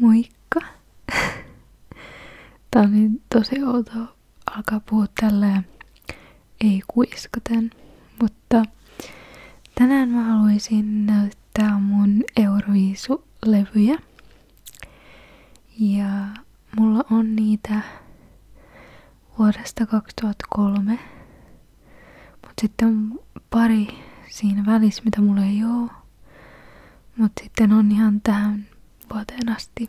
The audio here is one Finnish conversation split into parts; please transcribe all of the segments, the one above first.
Moikka! Tää on niin tosi outoa alkaa puhua tälleen ei kuiskaten, mutta tänään mä haluaisin näyttää mun Euroviisu-levyjä. Ja mulla on niitä vuodesta 2003, mut sitten on pari siinä välissä mitä mulla ei ole. Mutta sitten on ihan tähän vuoteen asti,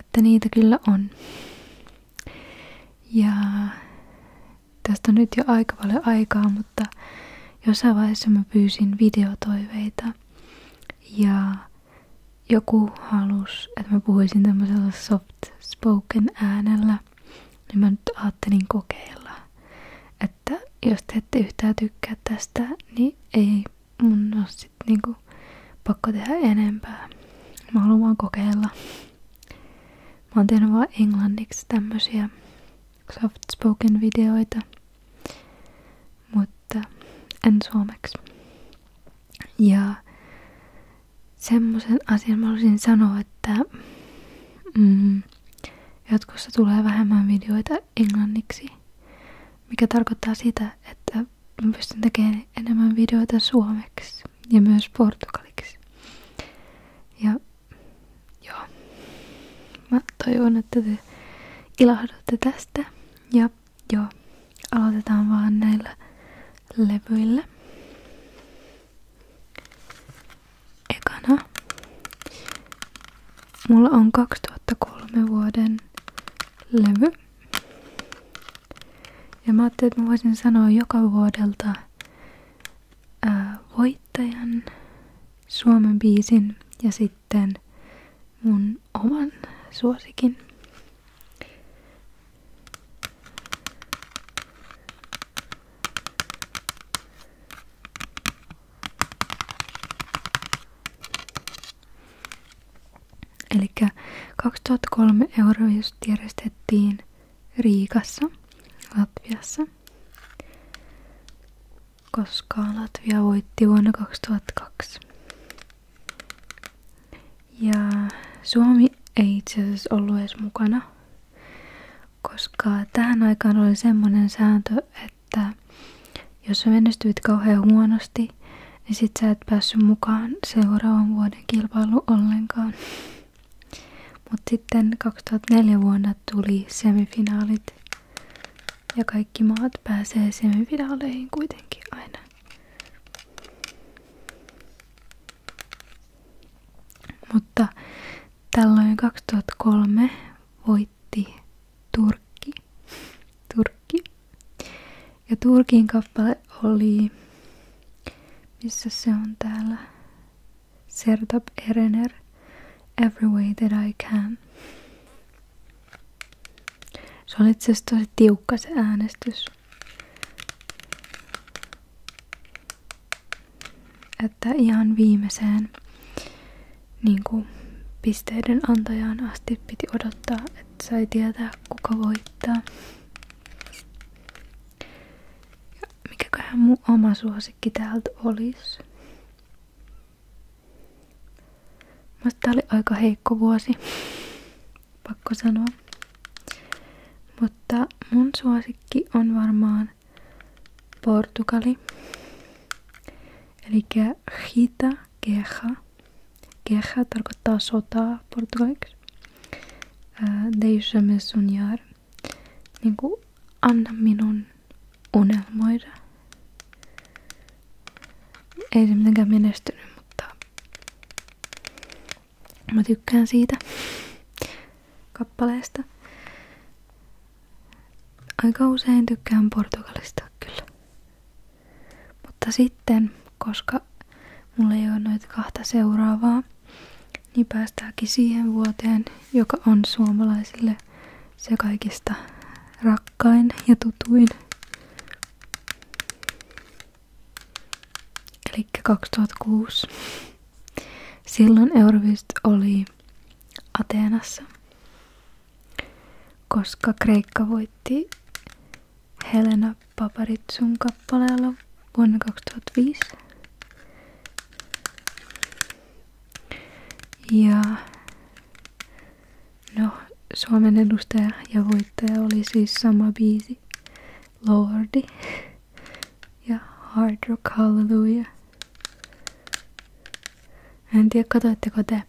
että niitä kyllä on. Ja tästä on nyt jo aika paljon aikaa, mutta jossain vaiheessa mä pyysin videotoiveita. Ja joku halusi, että mä puhuisin tämmöisellä soft spoken äänellä. Niin mä nyt ajattelin kokeilla että jos te ette yhtään tykkää tästä, niin ei mun ole sit niinku pakko tehdä enempää. Mä haluan vaan kokeilla. Mä oon tehnyt vaan englanniksi tämmösiä soft spoken videoita, mutta en suomeksi. Ja semmoisen asian mä haluaisin sanoa, että mm, Jatkossa tulee vähemmän videoita englanniksi, mikä tarkoittaa sitä, että mä pystyn tekemään enemmän videoita suomeksi ja myös portugaliksi. Ja joo, mä toivon, että te ilahdutte tästä. Ja joo, aloitetaan vaan näillä levyillä ekana. Mulla on 2003 vuoden levy. Ja mä ajattelin, että mä voisin sanoa joka vuodelta ää, äh, voittajan, Suomen biisin ja sitten mun oman suosikin. Eli 2003 euroa just järjestettiin Riikassa, Latviassa, koska Latvia voitti vuonna 2002. Ja Suomi ei itse asiassa ollut edes mukana koska tähän aikaan oli semmoinen sääntö, että jos sä menestyit kauhean huonosti, niin sit sä et päässyt mukaan seuraavan vuoden kilpailu ollenkaan. Mutta sitten 2004 vuonna tuli semifinaalit ja kaikki maat pääsee semifinaaleihin kuitenkin aina. Mutta Tällöin 2003 voitti Turkki. Turkki. Ja Turkin kappale oli, missä se on täällä, Sertab Erener, Every Way That I Can. Se oli itse asiassa tosi tiukka se äänestys. Että ihan viimeiseen niin kuin pisteiden antajaan asti piti odottaa, että sai tietää kuka voittaa. Ja mikäköhän mun oma suosikki täältä olisi? Mutta tää oli aika heikko vuosi, pakko sanoa. Mutta mun suosikki on varmaan Portugali. Eli hita, keha. Keha tarkoittaa sotaa portugaliksi. Äh, Deixa me Niin kuin, anna minun unelmoida. Ei se mitenkään menestynyt, mutta mä tykkään siitä kappaleesta. Aika usein tykkään Portugalista kyllä. Mutta sitten, koska mulla ei ole noita kahta seuraavaa, niin päästäänkin siihen vuoteen, joka on suomalaisille se kaikista rakkain ja tutuin. Eli 2006. Silloin Euroviisut oli Ateenassa, koska Kreikka voitti Helena Paparitsun kappaleella vuonna 2005. Ja no, Suomen edustaja ja voittaja oli siis sama biisi, Lordi ja Hard Rock Hallelujah. En tiedä, katsoitteko te,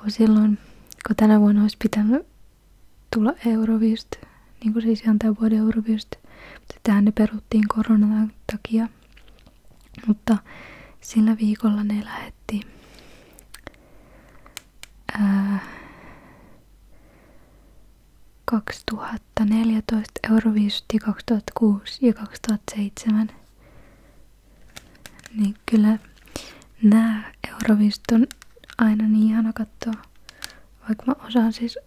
kun silloin, kun tänä vuonna olisi pitänyt tulla Eurovist, niin kuin siis ihan tämän vuoden Eurovist, mutta tähän ne peruttiin koronan takia. Mutta sillä viikolla ne lähetti ää, 2014, Euroviisutti 2006 ja 2007. Niin kyllä nämä Euroviisut on aina niin ihana katsoa. Vaikka mä osaan siis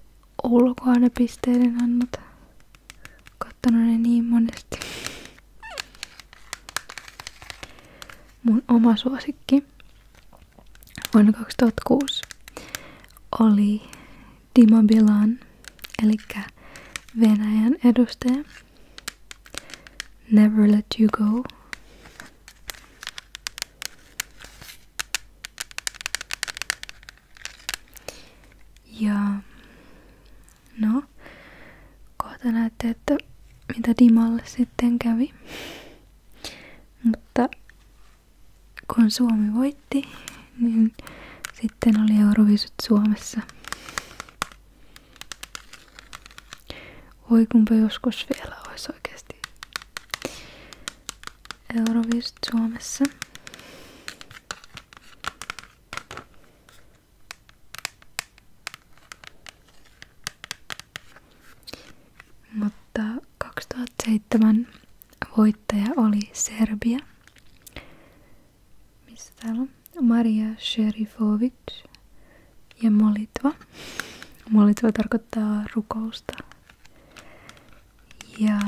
ulkoa ne pisteiden annot. Kattonut ne niin monesti. Mun oma suosikki vuonna 2006 oli Dima Bilan, eli Venäjän edustaja. Never Let You Go. Ja no, kohta näette, että mitä Dimalle sitten kävi. Mutta kun Suomi voitti, niin sitten oli Eurovisut Suomessa. Voi kumpa joskus vielä olisi oikeasti Eurovisut Suomessa. Mutta 2007 Voittaja oli Serbia. Missä täällä on? Maria Sherifovic ja Molitva. Molitva tarkoittaa rukousta. Ja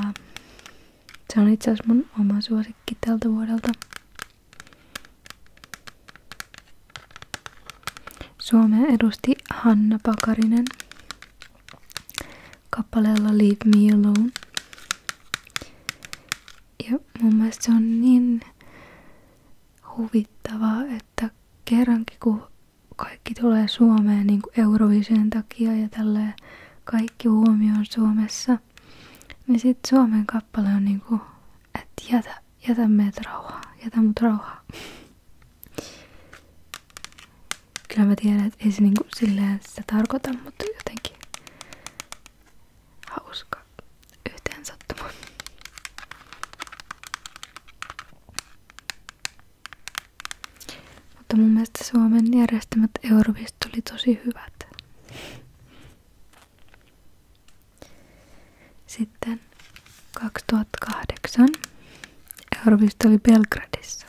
se on itse asiassa mun oma suosikki tältä vuodelta. Suomea edusti Hanna Pakarinen kappaleella Leave Me Alone. Ja mun mielestä se on niin huvittavaa, että kerrankin kun kaikki tulee Suomeen niin kuin Eurovision takia ja tälle kaikki huomio on Suomessa, niin sit Suomen kappale on niin kuin että jätä, jätä meidät rauhaan, jätä mut rauhaan. Kyllä mä tiedän, että ei se niinku silleen sitä tarkoita, mutta jotenkin hauska yhteen sattuma. Mutta mun mielestä Suomen järjestämät Euroviisut oli tosi hyvät. Sitten 2008 Euroviisut oli Belgradissa.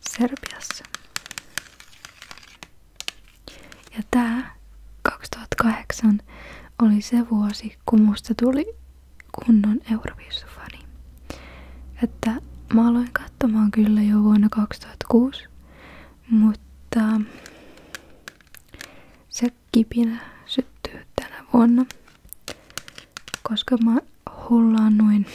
Serbiassa. Ja tää 2008 oli se vuosi, kun musta tuli kunnon Euroviisufani. Että mä aloin katsomaan kyllä jo vuonna 2006, mutta se kipinä syttyy tänä vuonna, koska mä hullaan noin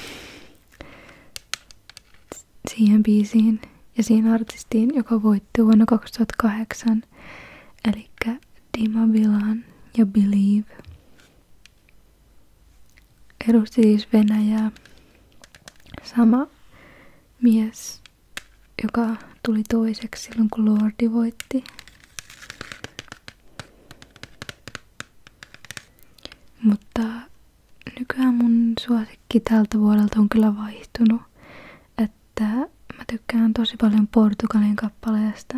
siihen biisiin ja siihen artistiin, joka voitti vuonna 2008, eli Dima Bilan ja Believe. Edusti siis Venäjää. Sama mies, joka tuli toiseksi silloin kun Lordi voitti. Mutta nykyään mun suosikki tältä vuodelta on kyllä vaihtunut. Että mä tykkään tosi paljon Portugalin kappaleesta.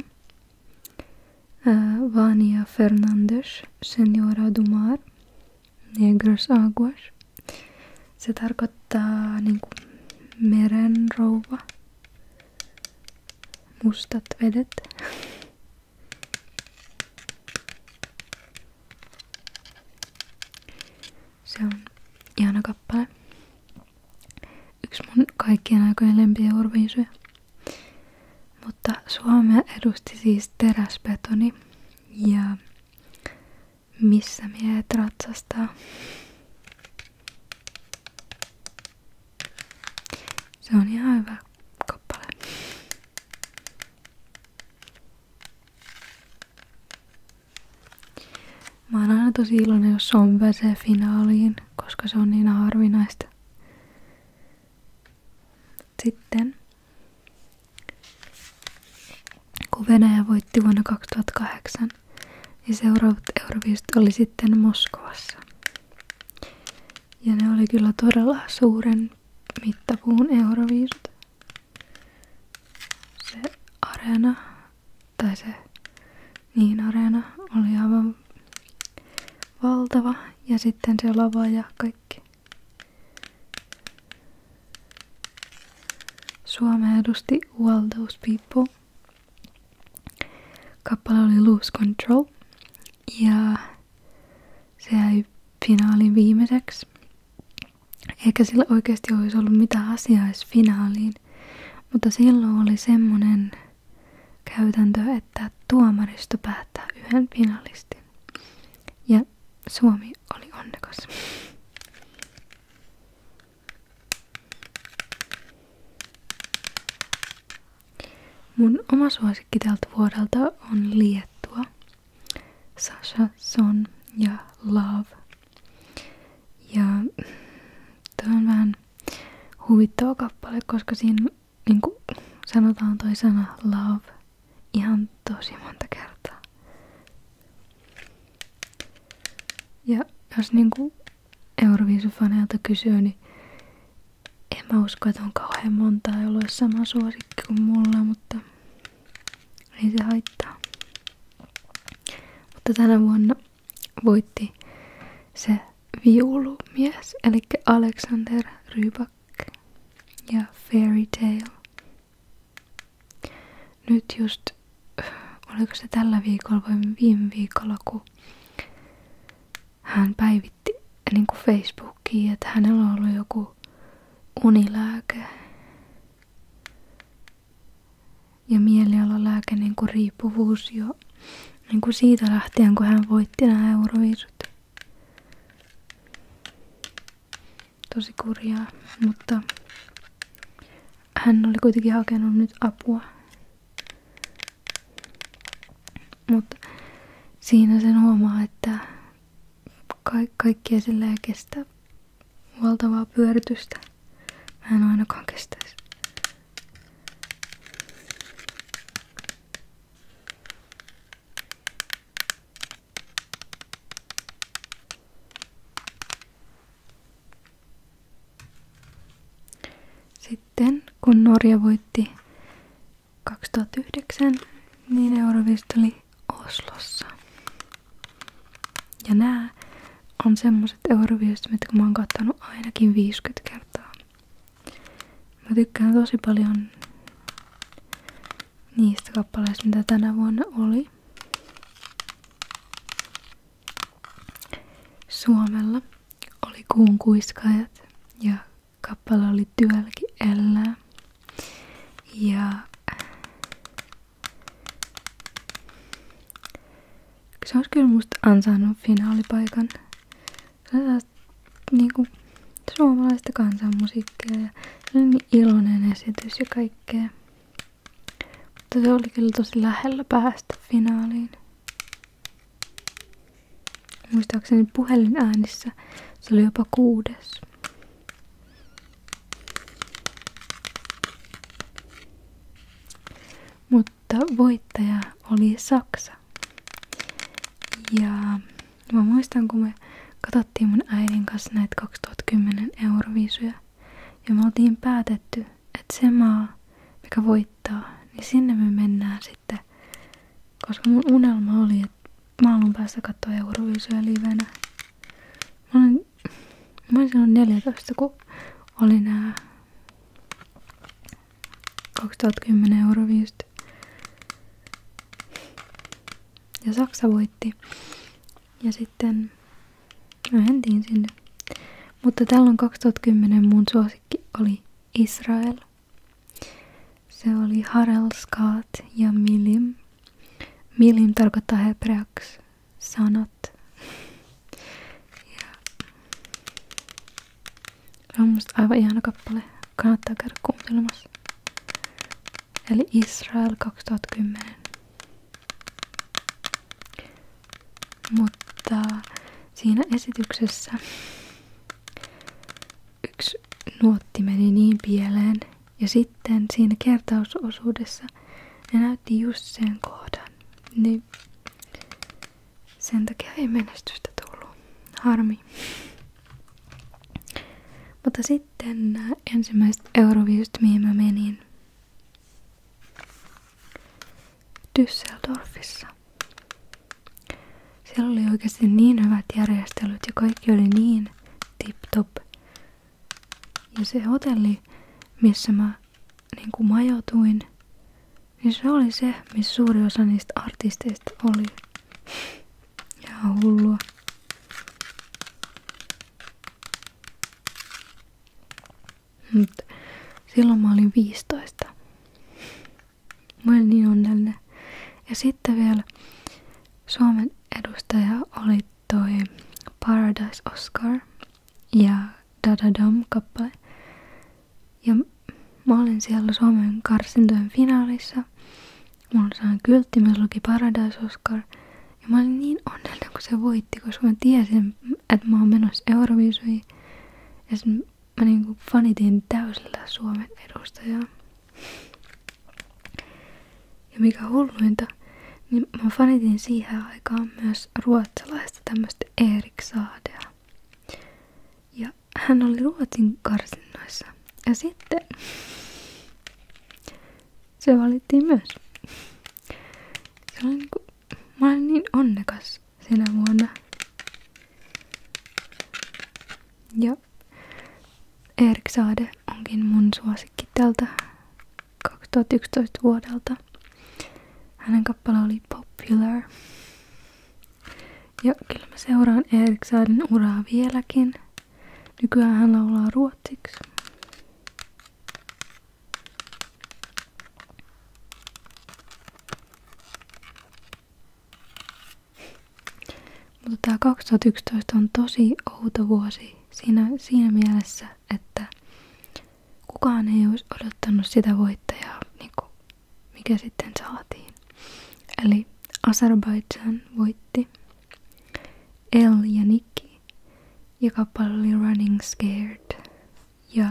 Ää, Vania Fernandes, Senhora Dumar, Negros Aguas. Se tarkoittaa niinku merenrouva, mustat vedet. Se on ihana kappale. Yksi mun kaikkien aikojen lempiä orviisuja. Mutta Suomea edusti siis teräsbetoni ja missä miehet ratsastaa. Se on ihan hyvä kappale. Mä oon aina tosi iloinen, jos on pääsee finaaliin, koska se on niin harvinaista. Sitten, kun Venäjä voitti vuonna 2008, niin seuraavat Euroviisut oli sitten Moskovassa. Ja ne oli kyllä todella suuren mittapuun euroviisut. Se areena, tai se niin areena oli aivan valtava. Ja sitten se lava ja kaikki. Suomea edusti All Those People. Kappale oli Lose Control ja se jäi finaaliin viimeiseksi. Eikä sillä oikeasti olisi ollut mitään asiaa edes finaaliin. Mutta silloin oli semmoinen käytäntö, että tuomaristo päättää yhden finaalisti Ja Suomi oli onnekas. Mun oma suosikki tältä vuodelta on Liettua. Sasha, Son ja Love. Ja tämä on vähän huvittava kappale, koska siinä niin kuin sanotaan toi sana love ihan tosi monta kertaa. Ja jos niin kuin Euroviisufaneilta kysyy, niin en mä usko, että on kauhean monta jolla sama suosikki kuin mulla, mutta ei niin se haittaa. Mutta tänä vuonna voitti se viulumies, eli Alexander Rybak ja Fairy Tale. Nyt just, oliko se tällä viikolla vai viime viikolla, kun hän päivitti niin kuin Facebookiin, että hänellä on ollut joku unilääke ja mielialalääke niin kuin riippuvuus jo niin kuin siitä lähtien, kun hän voitti nämä euroviisut. Tosi kurjaa, mutta hän oli kuitenkin hakenut nyt apua mutta siinä sen huomaa, että ka kaikkia sillä ei kestä valtavaa pyöritystä. Mä en ainakaan kestäisi. Sitten kun Norja voitti 2009, niin Eurovisteli Oslossa. Ja nämä on semmoset Euroviestit, mitkä mä oon kattonut ainakin 50 kertaa. Mä tykkään tosi paljon niistä kappaleista, mitä tänä vuonna oli. Suomella oli kuun kuiskaajat ja kappale oli Työlki elää. Ja se olisi kyllä musta ansainnut finaalipaikan. Se on niin niinku suomalaista kansanmusiikkia ja se oli niin iloinen esitys ja kaikkea. Mutta se oli kyllä tosi lähellä päästä finaaliin. Muistaakseni puhelinäänissä se oli jopa kuudes. Mutta voittaja oli Saksa. Ja mä muistan, kun me katsottiin mun äidin kanssa näitä 2010 euroviisuja. Ja me oltiin päätetty, että se maa, mikä voitti laittaa, niin sinne me mennään sitten. Koska mun unelma oli, että mä haluan päästä katsoa Euroviisua livenä. Mä olin, mä olin silloin 14, kun oli nää 2010 Euroviisut. Ja Saksa voitti. Ja sitten mä sinne. Mutta on 2010 mun suosikki oli Israel. Se oli Harelskat ja Milim. Milim tarkoittaa hebreaksi sanat. Ja. Se on musta aivan ihana kappale. Kannattaa käydä kuuntelemassa. Eli Israel 2010. Mutta siinä esityksessä yksi nuotti meni niin pieleen ja sitten siinä kertausosuudessa ne näytti just sen kohdan. Niin sen takia ei menestystä tullut. Harmi. Mutta sitten nämä äh, ensimmäiset euroviisut, mihin mä menin. Düsseldorfissa. Siellä oli oikeasti niin hyvät järjestelyt ja kaikki oli niin tip-top. Ja se hotelli, missä mä niin kuin majoituin, niin se oli se, missä suuri osa niistä artisteista oli. Ja hullua. Mut silloin mä olin 15. Mä olin niin onnellinen. Ja sitten vielä Suomen edustaja oli toi Paradise Oscar ja Dada Dom kappale. Ja mä olin siellä Suomen karsintojen finaalissa. Mulla sain kyltti, myös luki Paradise Oscar. Ja mä olin niin onnellinen, kun se voitti, koska mä tiesin, että mä oon menossa Euroviisuihin. Ja sen mä niinku fanitin täysillä Suomen edustajaa. Ja mikä hulluinta, niin mä fanitin siihen aikaan myös ruotsalaista tämmöistä Erik Saadea. Ja hän oli Ruotsin karsinnoissa. Ja sitten se valittiin myös. Se oli niinku, mä olin niin onnekas sinä vuonna. Ja Erik Saade onkin mun suosikki tältä 2011 vuodelta. Hänen kappale oli Popular. Ja kyllä mä seuraan Erik Saaden uraa vieläkin. Nykyään hän laulaa ruotsiksi. Mutta tämä 2011 on tosi outo vuosi siinä, siinä mielessä, että kukaan ei olisi odottanut sitä voittajaa, niin kuin mikä sitten saatiin. Eli Azerbaijan voitti El ja Nikki ja kappale oli Running Scared. Ja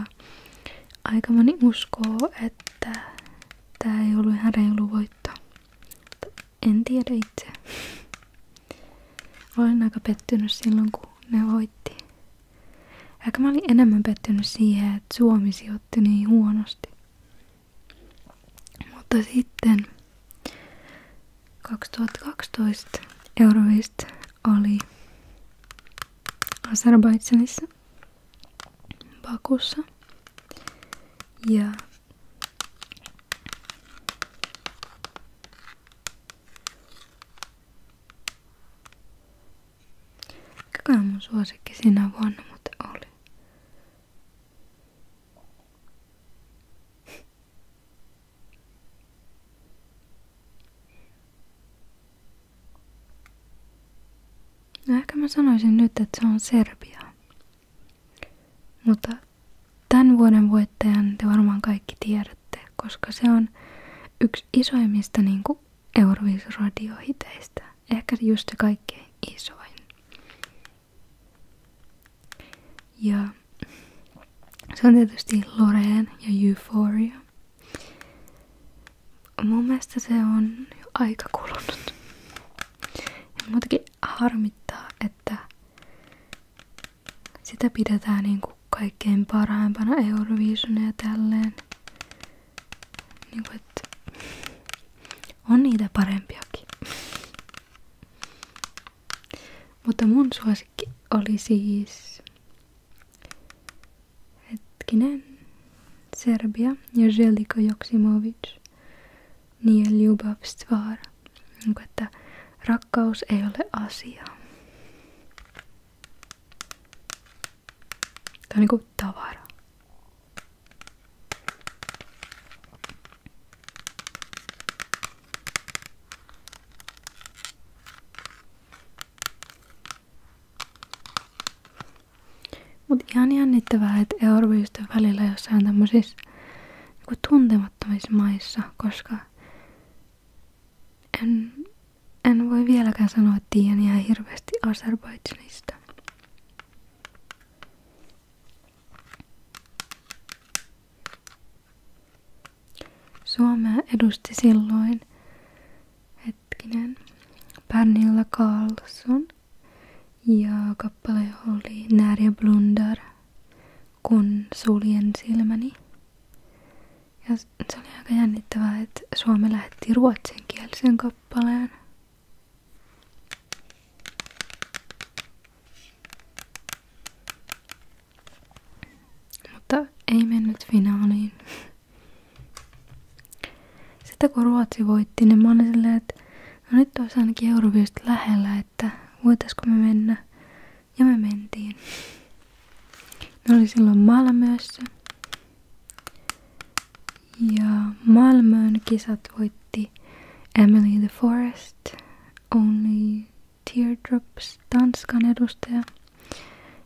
aika moni uskoo, että tämä ei ollut ihan reilu voitto. En tiedä itse. Olen aika pettynyt silloin, kun ne voitti. Ehkä mä olin enemmän pettynyt siihen, että Suomi sijoitti niin huonosti. Mutta sitten 2012 Eurovist oli Azerbaidsanissa Bakussa. Ja Mikäkään mun suosikki sinä vuonna muuten oli? No ehkä mä sanoisin nyt, että se on Serbia. Mutta tämän vuoden voittajan te varmaan kaikki tiedätte, koska se on yksi isoimmista niin Euroviis-radiohiteistä. Ehkä just se kaikkein isoin. Ja se on tietysti Loreen ja Euphoria. Mun mielestä se on jo aika kulunut. Ja muutenkin harmittaa, että sitä pidetään niin kuin kaikkein parhaimpana Eurovisionia tälleen. Niinku, että on niitä parempiakin. Mutta mun suosikki oli siis Hetkinen. Serbia ja Želiko Joksimovic. Niiden Ljubavstvar. Niin että rakkaus ei ole asia. Tämä on niinku tavara. Mut ihan jännittävää, että Euroopista välillä jossain tämmöisissä niin tuntemattomissa maissa, koska en, en voi vieläkään sanoa, että tiedän ihan hirveästi Azerbaidžanista. Suomea edusti silloin hetkinen, Pernilla Carlson ja kappale oli När jag blundar, kun suljen silmäni. Ja se oli aika jännittävää, että Suomi lähetti ruotsinkielisen kappaleen. Mutta ei mennyt finaaliin. Sitten kun Ruotsi voitti, niin mä olin silleen, että no nyt olisi ainakin Euroviisut lähellä, että voitaisko me mennä. Ja me mentiin. Me oli silloin Malmössä. Ja Malmön kisat voitti Emily the Forest, Only Teardrops, Tanskan edustaja.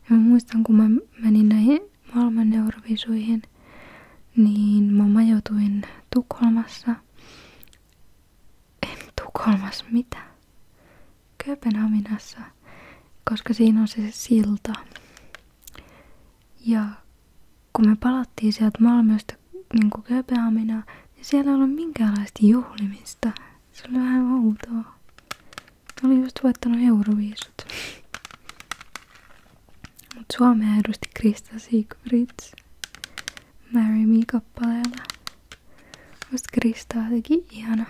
Ja mä muistan, kun mä menin näihin maailman Eurovisuihin, niin mä majoituin Tukholmassa. En Tukholmassa, mitä? Kööpenhaminassa, koska siinä on se silta. Ja kun me palattiin sieltä Malmöstä niin Kööpenhaminaan, niin siellä ei ollut minkäänlaista juhlimista. Se oli vähän outoa. Olin just voittanut euroviisut. Mut Suomea edusti Krista Siegfrieds Marry Me kappaleella. Musta Krista on jotenkin ihana.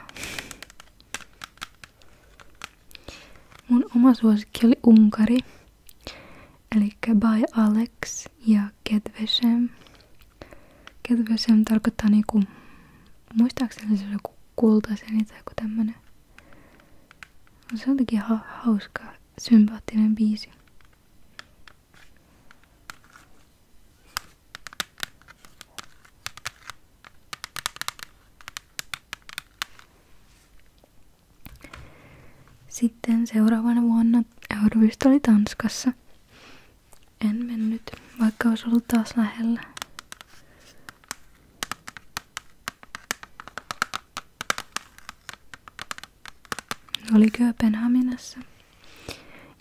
Mun oma suosikki oli Unkari. Eli By Alex ja Kedvesem. Kedvesem tarkoittaa niinku, muistaakseni se on joku kultaisen tai joku tämmönen. Se on jotenkin ha hauska, sympaattinen biisi. Sitten seuraavana vuonna Euroviisut oli Tanskassa. En mennyt, vaikka olisi ollut taas lähellä. Oli Kööpenhaminassa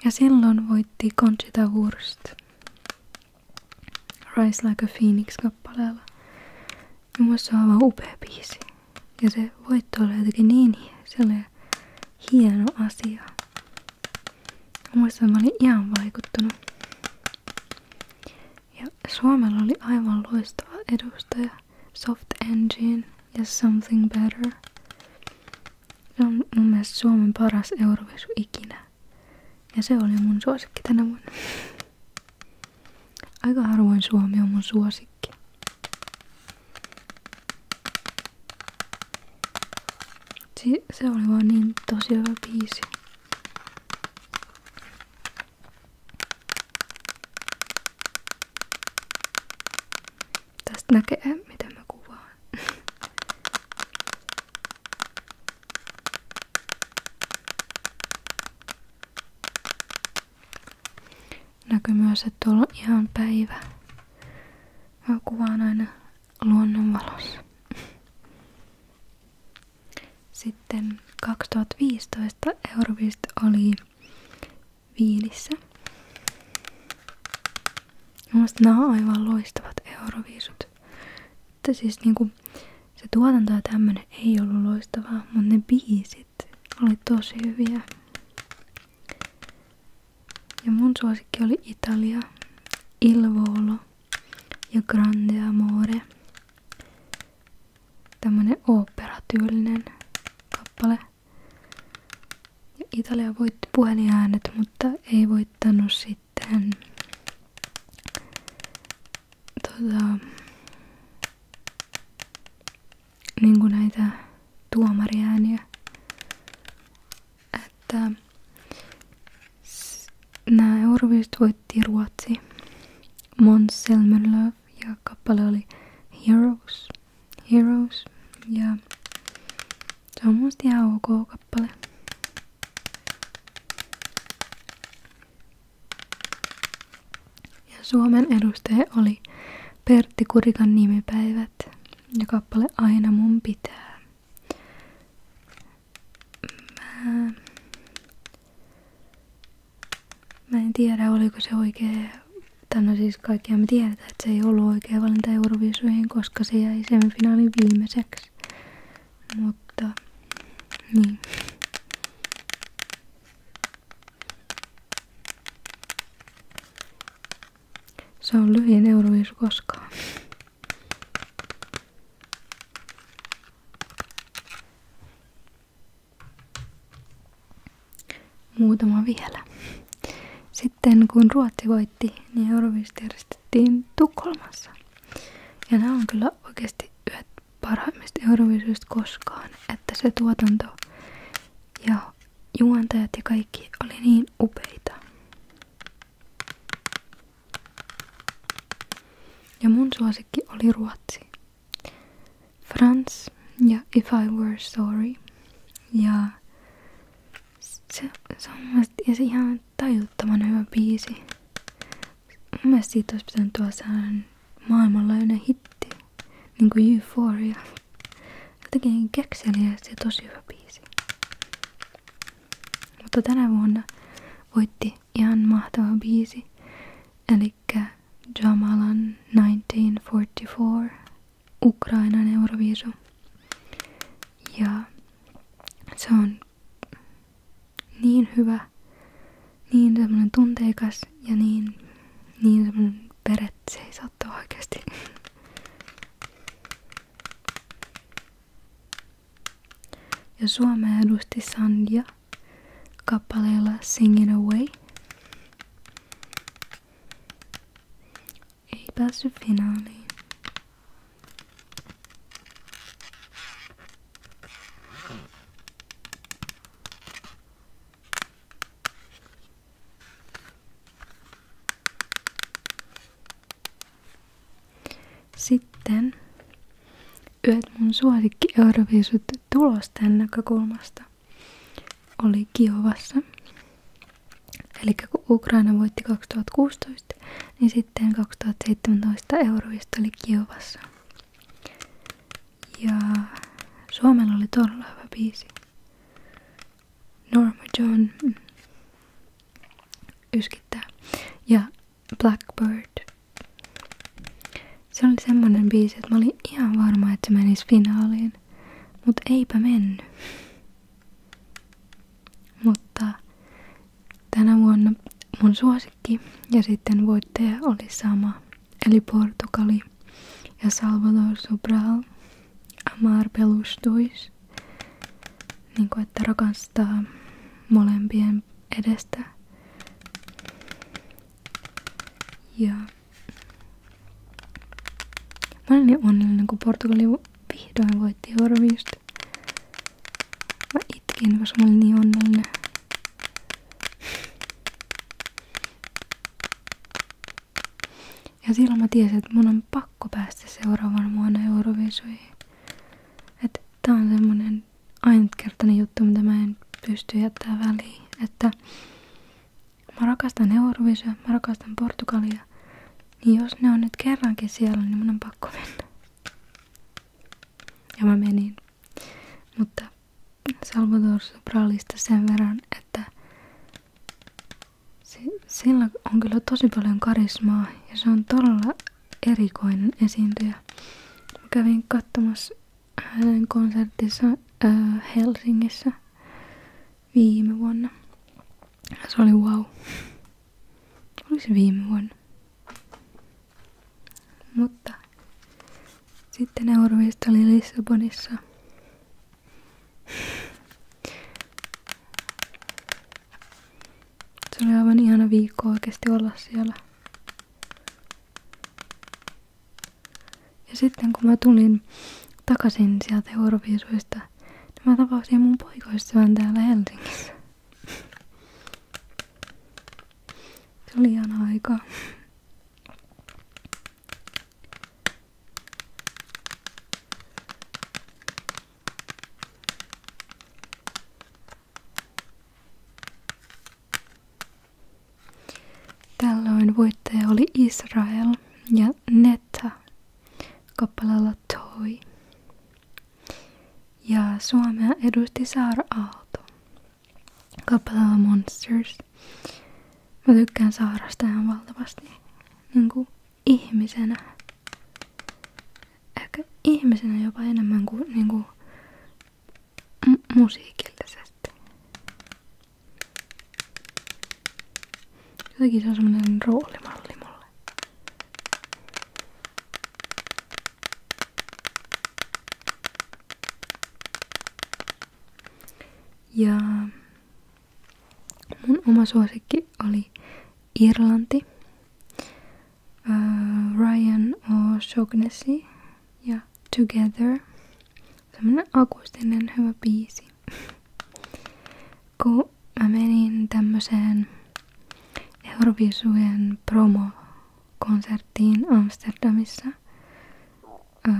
ja silloin voitti Conchita Wurst Rise Like a Phoenix-kappaleella. Mun mielestä se on aivan upea biisi. Ja se voitto oli jotenkin niin se hieno asia. Muistan, mä olin ihan vaikuttunut. Ja Suomella oli aivan loistava edustaja Soft Engine ja Something Better. Se on mun mielestä Suomen paras Eurovisu ikinä. Ja se oli mun suosikki tänä vuonna. Aika harvoin Suomi on mun suosikki. Se oli vaan niin tosi hyvä biisi. Tästä näkee, miten mä kuvaan. Näkyy myös, että tuolla on ihan päivä. Mä kuvaan aina luonnonvalossa. Sitten 2015 Eurovist oli Viinissä. Mielestäni nämä on aivan loistavat euroviisut. Että siis kuin niinku se tuotanto ja tämmönen ei ollut loistavaa, mutta ne biisit oli tosi hyviä. Ja mun suosikki oli Italia, Il Volo ja Grande Amore. Tämmönen oopperatyylinen kappale. Ja Italia voitti puhelinäänet, mutta ei voittanut sitten tota, niin kuin näitä tuomariääniä että nämä Euroviisut voitti Ruotsi. Måns ja kappale oli Heroes. Heroes. Ja se on musta ihan ok kappale. Ja Suomen edustaja oli Pertti Kurikan nimipäivät ja kappale Aina mun pitää mä, mä en tiedä oliko se oikea, tai no siis kaikkia me tiedetään, että se ei ollut oikea valinta Euroviisuihin, koska se jäi semifinaalin viimeiseksi. Mutta, niin. Se on lyhin Euroviisu koskaan. Muutama vielä. Sitten kun Ruotsi voitti, niin Eurovist järjestettiin Tukholmassa. Ja nämä on kyllä oikeasti yhdet parhaimmista Eurovisuista koskaan, että se tuotanto ja juontajat ja kaikki oli niin upeita. Ja mun suosikki oli ruotsi. Frans ja If I Were Sorry. Ja se, se on mun ja se ihan tajuttoman hyvä biisi. Mun mielestä siitä olisi pitänyt tuoda sellainen maailmanlaajuinen hitti. Niin kuin Euphoria. Jotenkin kekseliä ja se tosi hyvä biisi. Mutta tänä vuonna voitti ihan mahtava biisi, eli Jamalan 1944 Ukrainan Euroviisu. Ja se on niin hyvä, niin semmoinen tunteikas ja niin, niin semmoinen peret seisottaa oikeasti. Ja Suomea edusti Sandia kappaleella Sing Away. Ei päässyt finaaliin. Sitten yöt mun suosikki Euroviisut tulosten näkökulmasta oli Kiovassa. Eli kun Ukraina voitti 2016, niin sitten 2017 Euroviisut oli Kiovassa. Ja Suomella oli todella hyvä biisi. Norma John mm, yskittää. Ja Blackbird. Se oli semmonen biisi, että mä olin ihan varma, että se menisi finaaliin. Mut eipä mennyt. Mutta tänä vuonna mun suosikki ja sitten voittaja oli sama. Eli Portugali ja Salvador Sobral. Amar Pelustuis niin kuin, että rakastaa molempien edestä. Ja mä olin niin onnellinen, kun Portugali vihdoin voitti Euroviist. Mä itkin, koska mä olin niin onnellinen. Ja silloin mä tiesin, että mun on pakko pakko päästä seuraavan vuonna Euroviisuihin. Että tää on semmonen ainutkertainen juttu, mitä mä en pysty jättämään väliin. Että mä rakastan Euroviisua, mä rakastan Portugalia. Niin jos ne on nyt kerrankin siellä, niin mun on pakko mennä. Ja mä menin. Mutta Salvador Sopralista sen verran, että sillä on kyllä tosi paljon karismaa ja se on todella erikoinen esiintyjä. Mä kävin katsomassa hänen konsertissa äh, Helsingissä viime vuonna. Se oli wow. Oli se viime vuonna. Mutta sitten Eurovista oli Lissabonissa. Se oli aivan ihana viikko oikeasti olla siellä. Ja sitten kun mä tulin takaisin sieltä Euroviisuista, niin mä tapasin mun poikoistavan täällä Helsingissä. Se oli ihana aika. Tällöin voittaja oli Israel ja Netta kappaleella Toi. Ja Suomea edusti Saara Aalto kappaleella Monsters. Mä tykkään Saarasta ihan valtavasti. Niin ihmisenä. Ehkä ihmisenä jopa enemmän kuin, niin kuin musiikillisesti. Jotenkin se on semmoinen roolimalli mulle. Ja Mun oma suosikki oli Irlanti, uh, Ryan O'Shaughnessy ja Together. Semmonen akustinen hyvä biisi. Kun mä menin tämmöiseen Eurovisujen promokonserttiin Amsterdamissa. Uh,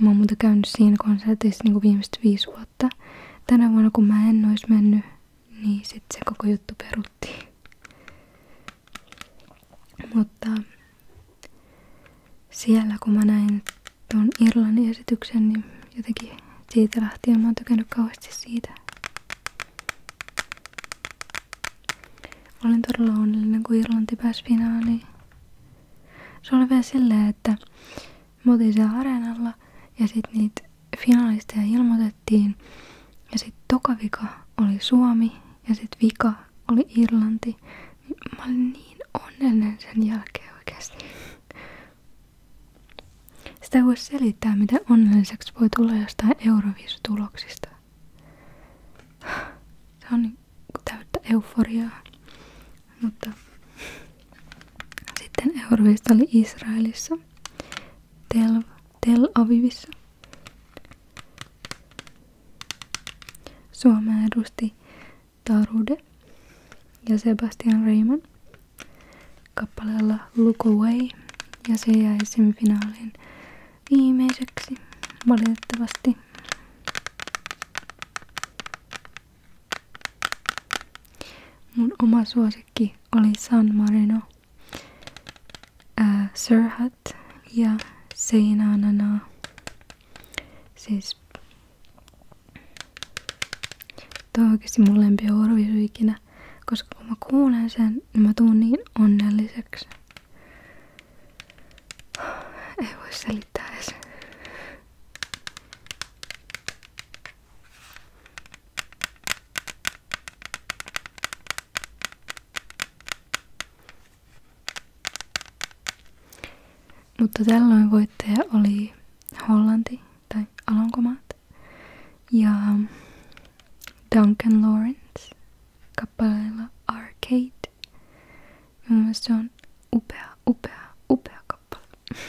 mä oon muuten käynyt siinä konsertissa niin viimeiset viisi vuotta tänä vuonna kun mä en ois mennyt, niin sit se koko juttu peruttiin. Mutta siellä kun mä näin tuon Irlannin esityksen, niin jotenkin siitä lähtien mä oon tykännyt kauheasti siitä. Olin todella onnellinen, kun Irlanti pääsi finaaliin. Se oli vielä silleen, että me oltiin siellä areenalla ja sitten niitä finalisteja ilmoitettiin. Ja sitten toka vika oli Suomi ja sitten vika oli Irlanti. Mä olin niin onnellinen sen jälkeen oikeasti. Sitä ei voi selittää, miten onnelliseksi voi tulla jostain Eurovisu tuloksista. Se on niin täyttä euforiaa. Mutta sitten Euroviisut oli Israelissa, Tel, Tel Avivissa. Suomea edusti Tarude ja Sebastian Reiman kappaleella Look Away ja se jäi semifinaalin viimeiseksi valitettavasti. Mun oma suosikki oli San Marino, äh, Sirhat ja Seinanana. Siis Tuo on oikeasti mun lempi ikinä, koska kun mä kuulen sen, niin mä tuun niin onnelliseksi. Ei voi selittää edes. Mutta tällöin voittaja oli Hollanti tai Alankomaat ja Duncan Lawrence kappaleella Arcade. Ja se on upea, upea, upea kappale kappale.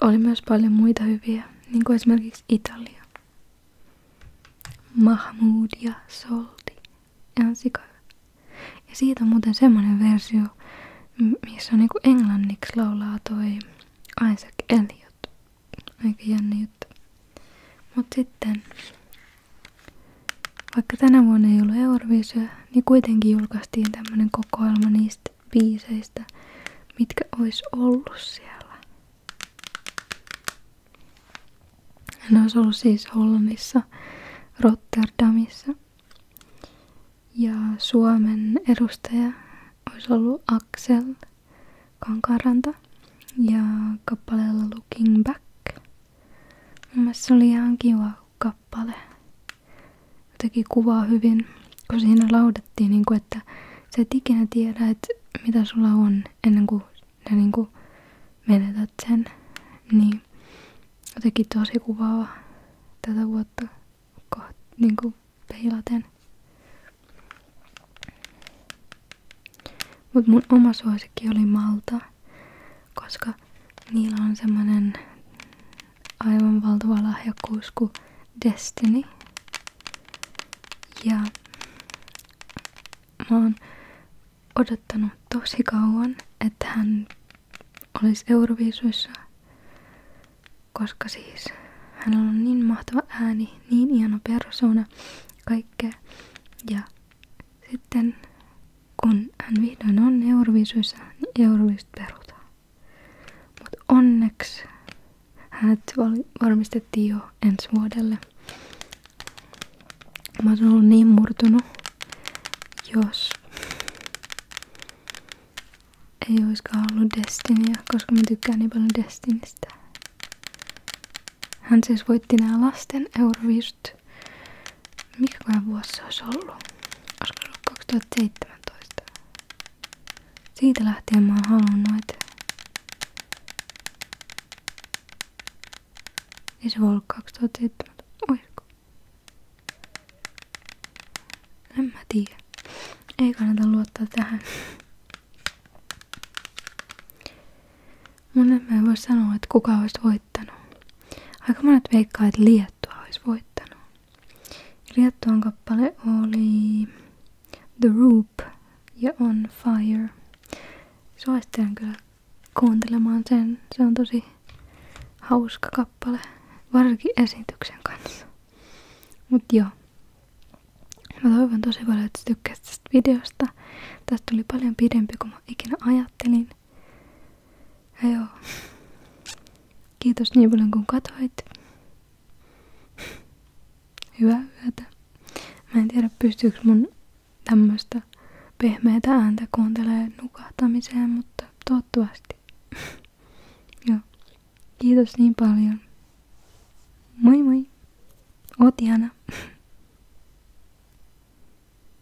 Oli myös paljon muita hyviä, niin kuin esimerkiksi Italia. Mahmoud ja Solti. Ihan sika. Ja siitä on muuten semmonen versio, missä on kuin niinku englanniksi laulaa toi Isaac Elliot. Aika jännä juttu. Mut sitten vaikka tänä vuonna ei ollut Euroviisua, niin kuitenkin julkaistiin tämmönen kokoelma niistä biiseistä, mitkä olisi ollut siellä. Ne olisi ollut siis Hollannissa, Rotterdamissa. Ja Suomen edustaja olisi ollut Axel Kankaranta ja kappaleella Looking Back. Mun mielestä se oli ihan kiva kappale jotenkin kuvaa hyvin, kun siinä laudettiin, niin kuin, että sä et ikinä tiedä, että mitä sulla on ennen kuin sä niin kuin menetät sen. Niin jotenkin tosi kuvaava tätä vuotta koht, niin kuin peilaten. Mut mun oma suosikki oli Malta koska niillä on semmonen aivan valtava lahjakkuus kuin Destiny. Ja mä oon odottanut tosi kauan, että hän olisi Euroviisuissa, koska siis hän on niin mahtava ääni, niin hieno persoona, kaikkea. Ja sitten kun hän vihdoin on Euroviisuissa, niin Euroviisut perutaan. Mutta onneksi hänet varmistettiin jo ensi vuodelle. Mä oon ollut niin murtunut, jos ei olisikaan ollut Destinia, koska mä tykkään niin paljon Destinistä. Hän siis voitti nämä lasten Euroviisut mikä vuosi se olisi ollut? Olisiko ollut 2017? Siitä lähtien mä oon halunnut, että... Ei se voi ollut 2017. Oisko? En mä tiedä. Ei kannata luottaa tähän. Mun en mä voi sanoa, että kuka olisi voittanut. Aika monet veikkaa, että Liettua olisi voittanut. Liettuan kappale oli The Roop ja On Fire. Suosittelen kyllä kuuntelemaan sen. Se on tosi hauska kappale, varsinkin esityksen kanssa. Mut joo. Mä toivon tosi paljon, että tykkäsit tästä videosta. Tästä tuli paljon pidempi kuin mä ikinä ajattelin. Ja joo. Kiitos niin paljon kun katsoit. Hyvää yötä. Mä en tiedä pystyykö mun tämmöstä pehmeätä ääntä kuuntelee nukahtamiseen, mutta toivottavasti. joo. Kiitos niin paljon. Moi moi. Oot ihana.